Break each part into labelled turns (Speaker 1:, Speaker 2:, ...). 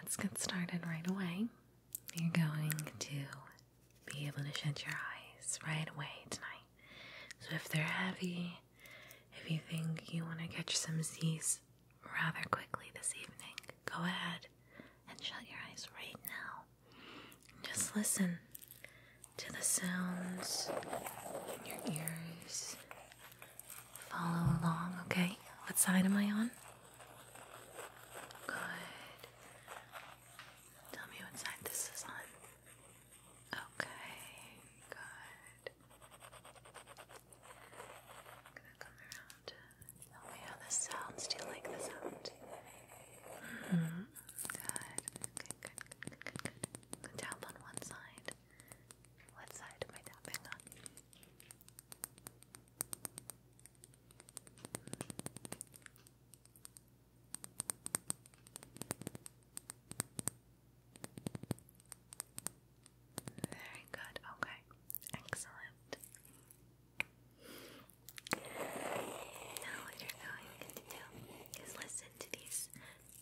Speaker 1: Let's get started right away. You're going to be able to shut your eyes right away tonight. So if they're heavy, if you think you want to catch some Z's rather quickly this evening, go ahead and shut your eyes right now. Just listen to the sounds in your ears Follow along, okay? What side am I on? Good. Tell me what side this is on. Okay, good. gonna come around. Tell me how this sounds. Do you like the sound? hmm. Good. Good, good, good, good, good. on one side. What side am I tapping on? Very good. Okay. Excellent. Now what you're going to do is listen to these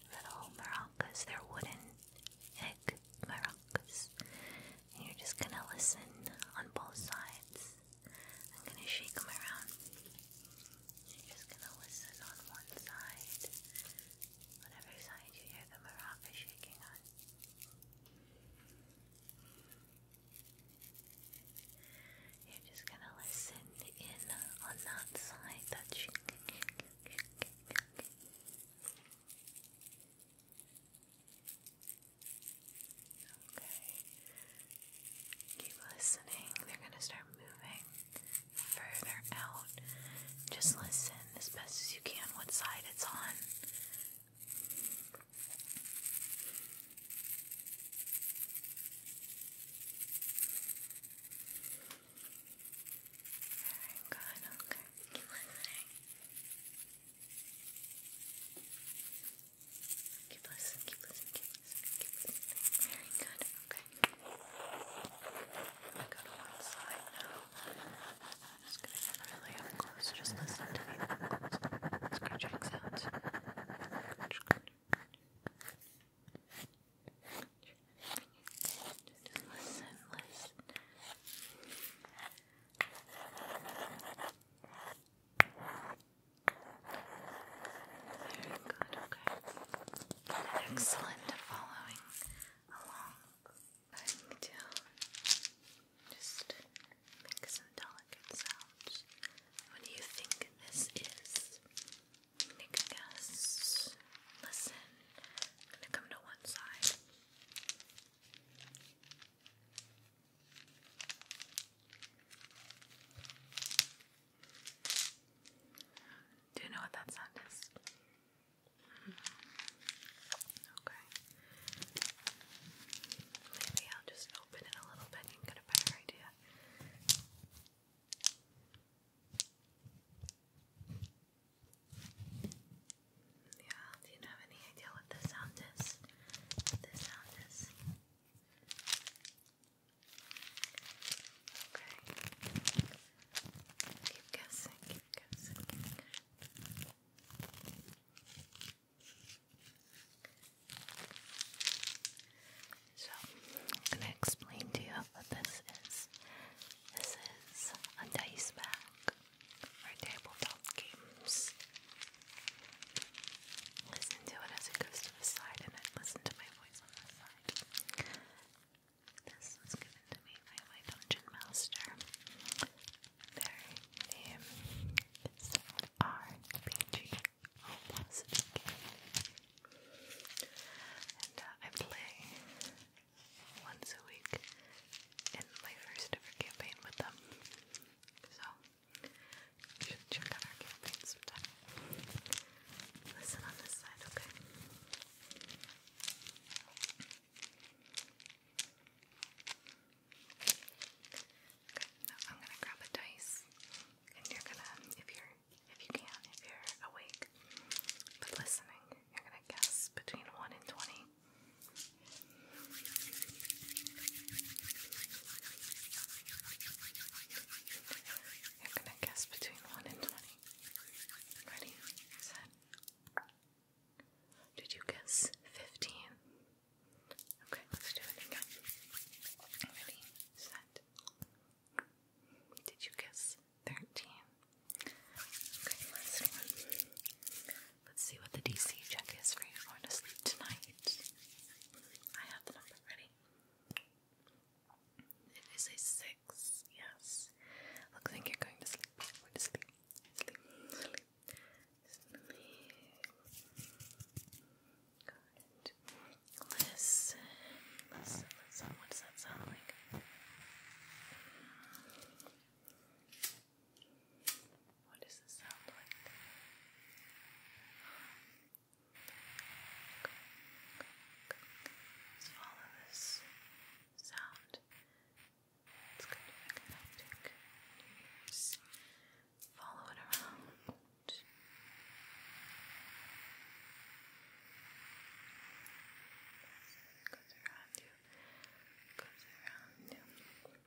Speaker 1: little maracas. They're wooden maracas you're just gonna listen on both sides. I'm gonna shake them around. You're just gonna listen on one side, whatever side you hear the maraca shaking on. You're just gonna listen in on that side that's you Okay. Keep listening. They're going to start moving further out. Just listen as best as you can what side it's on. Very good, okay. listening. Keep listening, keep listening, keep listening, keep listening. Very good, okay. I go to one side now. I'm just gonna get really up close. Just listen to the up close scratching sounds. Just listen, listen. Very good, okay. Excellent following along. I'm to just make some delicate sounds. What do you think this is? Make Listen. I'm gonna come to one side. Do you know what that sound is? Mm-hmm. Okay. Maybe I'll just open it a little bit and get a better idea. Yeah, do you have any idea what the sound is? the sound is? Okay. Keep guessing, keep guessing. So, I'm gonna explain to you what this is. This is a dice bag tabletop games. Listen to it as it goes to the side, and then listen to my voice on the side. This was given to me by my dungeon master. Their RPG Velocity And uh, I play once a week in my first ever campaign with them. So, should check out our campaign sometime. Listen on this side, okay? Okay, I'm gonna grab a dice, and you're gonna, if you're, if you can, if you're awake but listening, you're gonna guess between one and twenty you're gonna guess between one and twenty. Ready? Set. Did you guess fifteen? Okay, let's do it again. Ready? Set. Did you guess thirteen? Okay, last one. Let's see what the DC check is for you going to sleep tonight. I have the number ready. It is a six, yes. Looks like you're going to sleep. You're going sleep. Sleep. Sleep. Sleep. sound like? What does this sound like? follow this sound. It's going to be connecting Follow it around. Goes around you. Goes around you.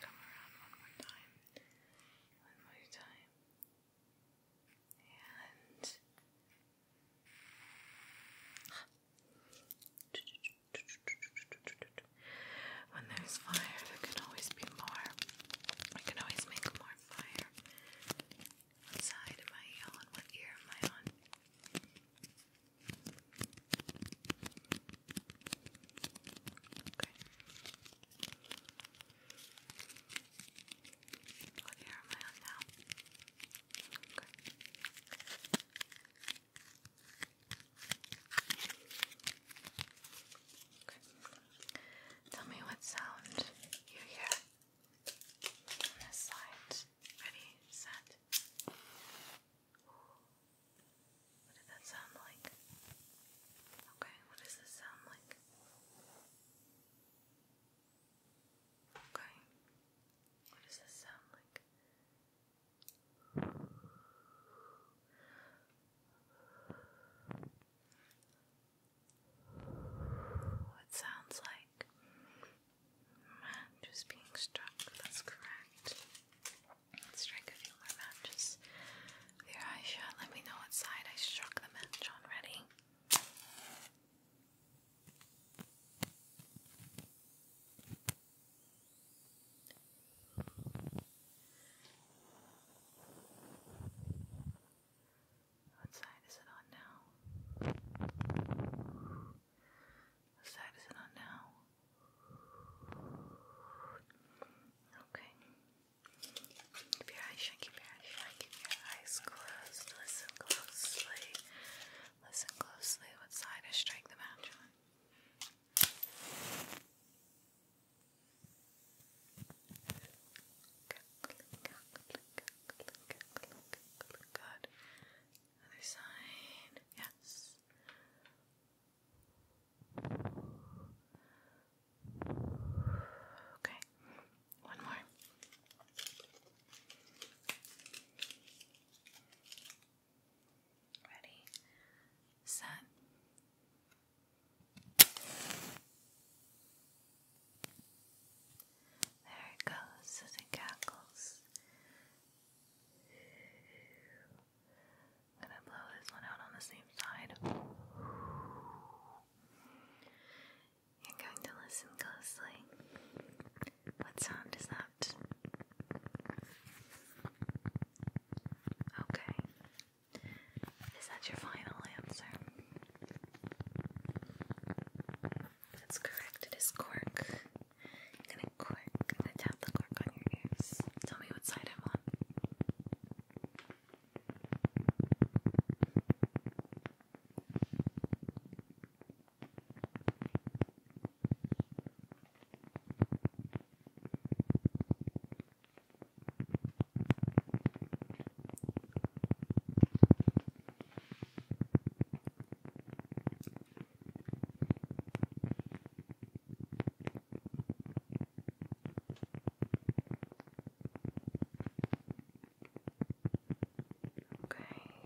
Speaker 1: Come around one more time. One more time. And when there's fire, there can always be more. I can always make more fire. What side am ear am I on? Okay. What ear am I on now? Okay. Tell me what sound you hear on this side. Ready, set. What did that sound like? Okay, what does this sound like? Okay. What does this sound like? It sounds like matches being struck. That's correct. let strike a few more matches your eye shut. Let me know what side I struck the match on. Ready? What side is it on now? What side is it on now? Okay. Keep your eyes shut, keep your eyes shut, keep your eyes closed. Listen closely. Listen closely. What side I strike the match on? Good. Other side. Yes. Okay. One more. Ready, set, there it goes as cackles. I'm gonna blow this one out on the same side. You're going to listen closely. What sound is that? Okay, is that your final answer? That's correct, it is cork. I'm gonna cork, I'm gonna tap the cork on your ears. Tell me what side I'm on. Okay,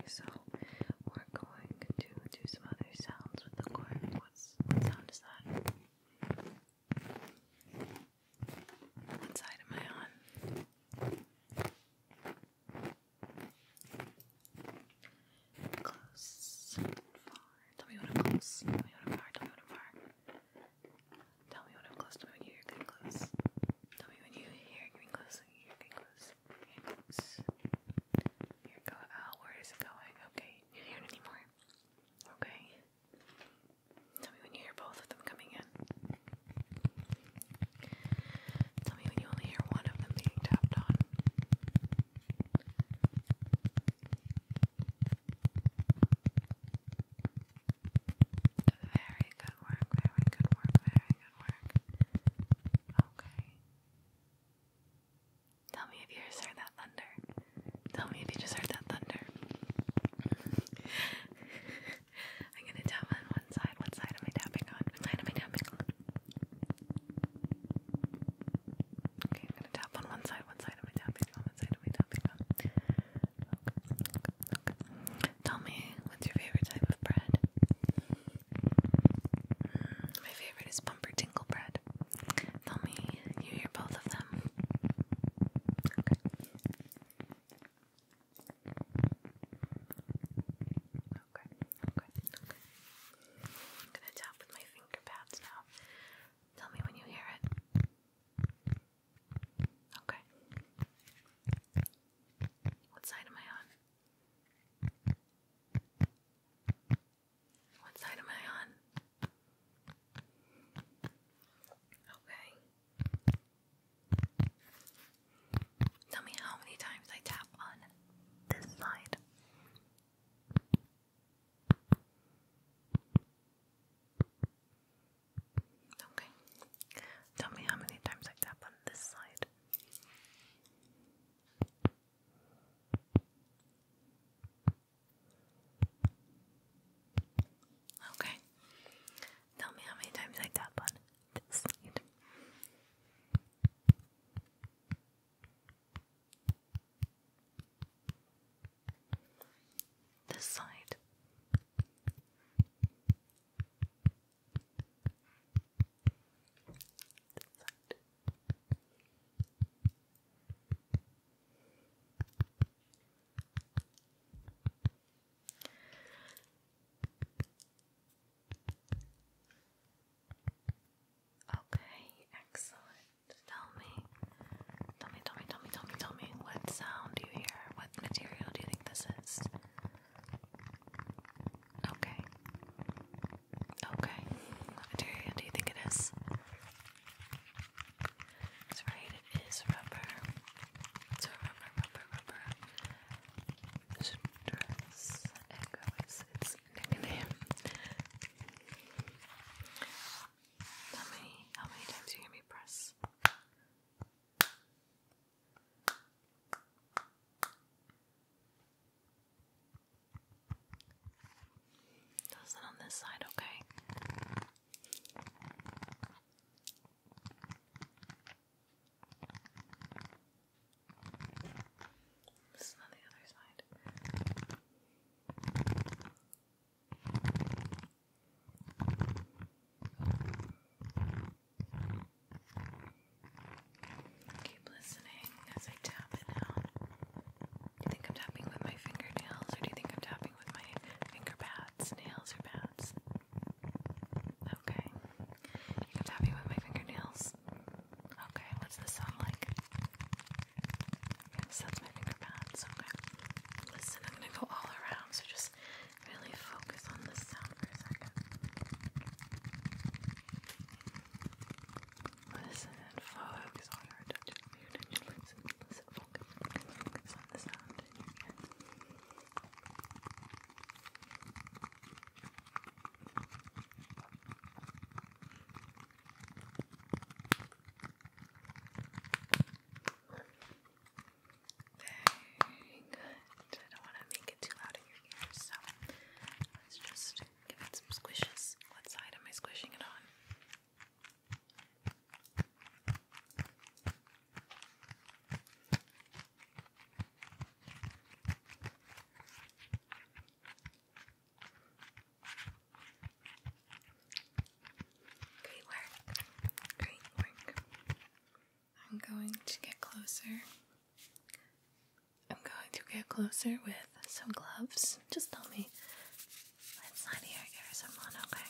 Speaker 1: so we're going to do some other sounds with the cork. what sound is that? What side am I on? Close far. Tell me when i close. Tell me when i far. Tell me when i far. Tell me when i close. Tell me when you're getting close. Tell me when you hear getting close. You're getting close. Getting close. Here go out. Oh, where is it going? Okay. You hear it anymore? Okay. Tell me when you hear both of them coming in. Tell me when you only hear one of them being tapped on. Very good work, very good work, very good work. Okay. Tell me if you hear that thunder. Tell me if you just heard that thunder. I'm gonna tap on one side. What side am I tapping on? What side am I tapping on? Okay, I'm gonna tap on one side. What side am I tapping on? What side am I tapping on? Okay, okay, Tell me, what's your favorite type of bread? Hmm, my favorite is bumper tingle bread. Tell me you hear both of them. Okay. Okay. I'm gonna tap with my finger pads now. Tell me when you hear it. Okay. What side am I on? What side am I on? Okay. Tell me how many times I tap on this side. Okay. Tell me how many times I tap on this side. Okay. Tell me how many times I tap on this side. This side. Okay, excellent. Tell me, tell me, tell me, tell me, tell me, tell me, what sound do you hear? What material do you think this is? Okay. Okay. What material do you think it is? It's right, it is rubber. It's a rubber, rubber, rubber. Dress Echo is its nickname. How many, how many times you hear me press? Does it on this side, okay? This is on the other side. Keep listening as I tap it out. Do you think I'm tapping with my fingernails or do you think I'm tapping? tapping with my finger pads, nails, or pads? Okay. You can tap with my fingernails. Okay, what's the sound like? Yes, that's my finger pads. Okay. Listen, I'm gonna go all around, so just really focus on this sound for a second. Listen and focus on your attention. I don't want to make it too loud in your ears, so let's just give it some squishes. What side am I squishing it on? Great work. Great work. I'm going to get closer. I'm going to get closer with some gloves. Just tell me Let's not hear it or someone, okay? Okay.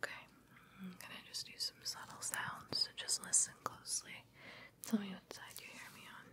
Speaker 1: Okay, i just do some subtle sounds, so just listen closely. Tell me what side you hear me on.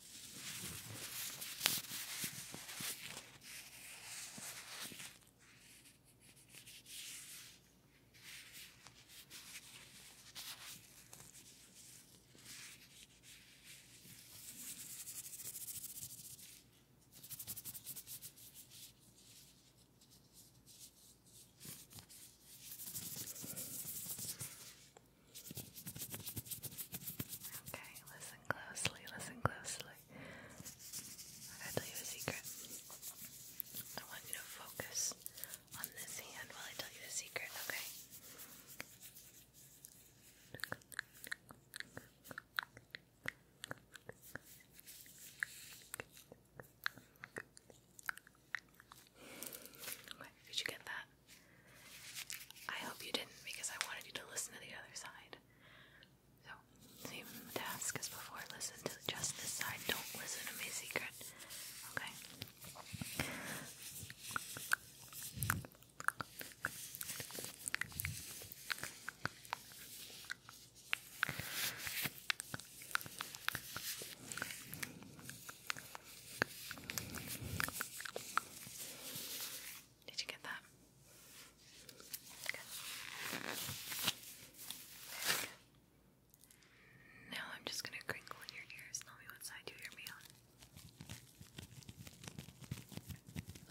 Speaker 1: Okay, let Listen closely, listen closely. I tell you a secret. I want you to focus on this hand while I tell you the secret, Okay, did you get that? I hope you didn't because I wanted you to listen to the other side. So, same task as before. Listen to just this side. Don't listen to my secret. Okay? Did you get that? Good. Now I'm just going to crinkle in your ears. Tell me what side you hear me on.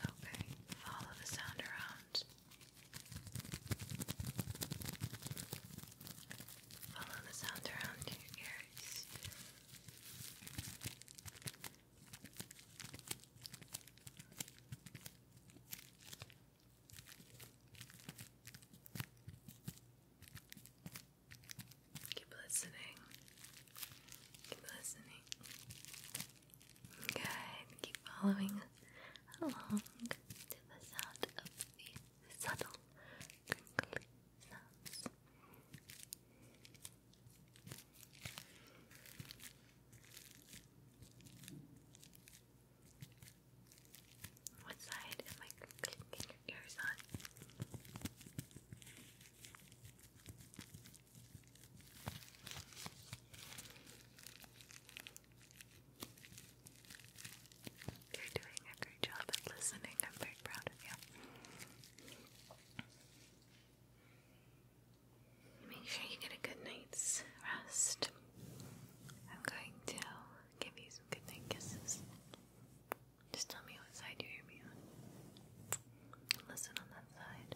Speaker 1: Okay, follow the sound around. Follow the sound around your ears. Keep listening. Keep listening. Good. Keep following along to the sound of the subtle crinkly sounds. What side am I clicking your ears on? You're doing a great job at listening. I'm very proud of you. Make sure you get a good night's rest. I'm going to give you some good night kisses. Just tell me what side you hear me on. Listen on that side.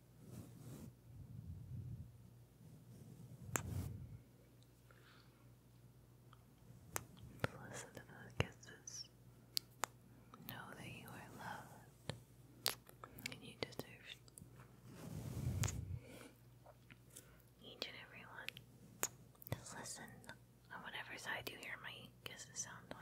Speaker 1: Listen to those kisses. Know that you are loved and you deserve each and every one. Just listen on whatever side you hear my kisses sound on.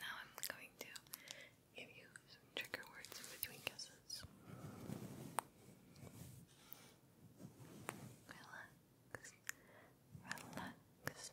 Speaker 1: Now I'm going to give you some trigger words in between kisses. Relax, relax, relax.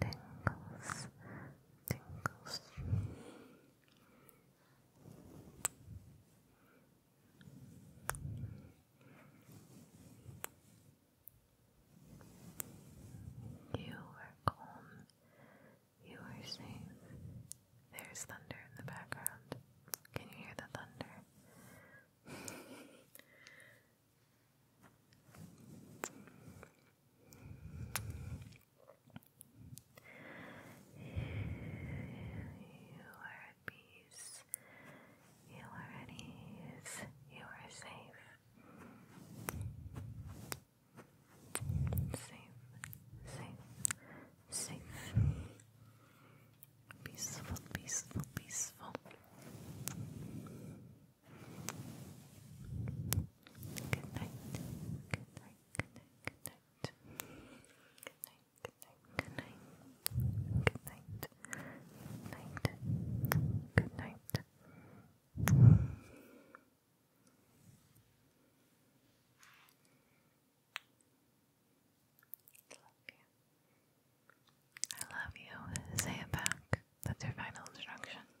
Speaker 1: tingles, tingles. You are calm. You are safe. There's thunder in the background. Can you hear the thunder? You are at peace. You are at ease. You are safe. Safe, safe, safe. Peaceful, peaceful, peaceful. Good night. Good night. Good night. Good night. Good night. Good night. Good night. Good night. Good night. Good night. I love you. Say it back. That's your final instruction.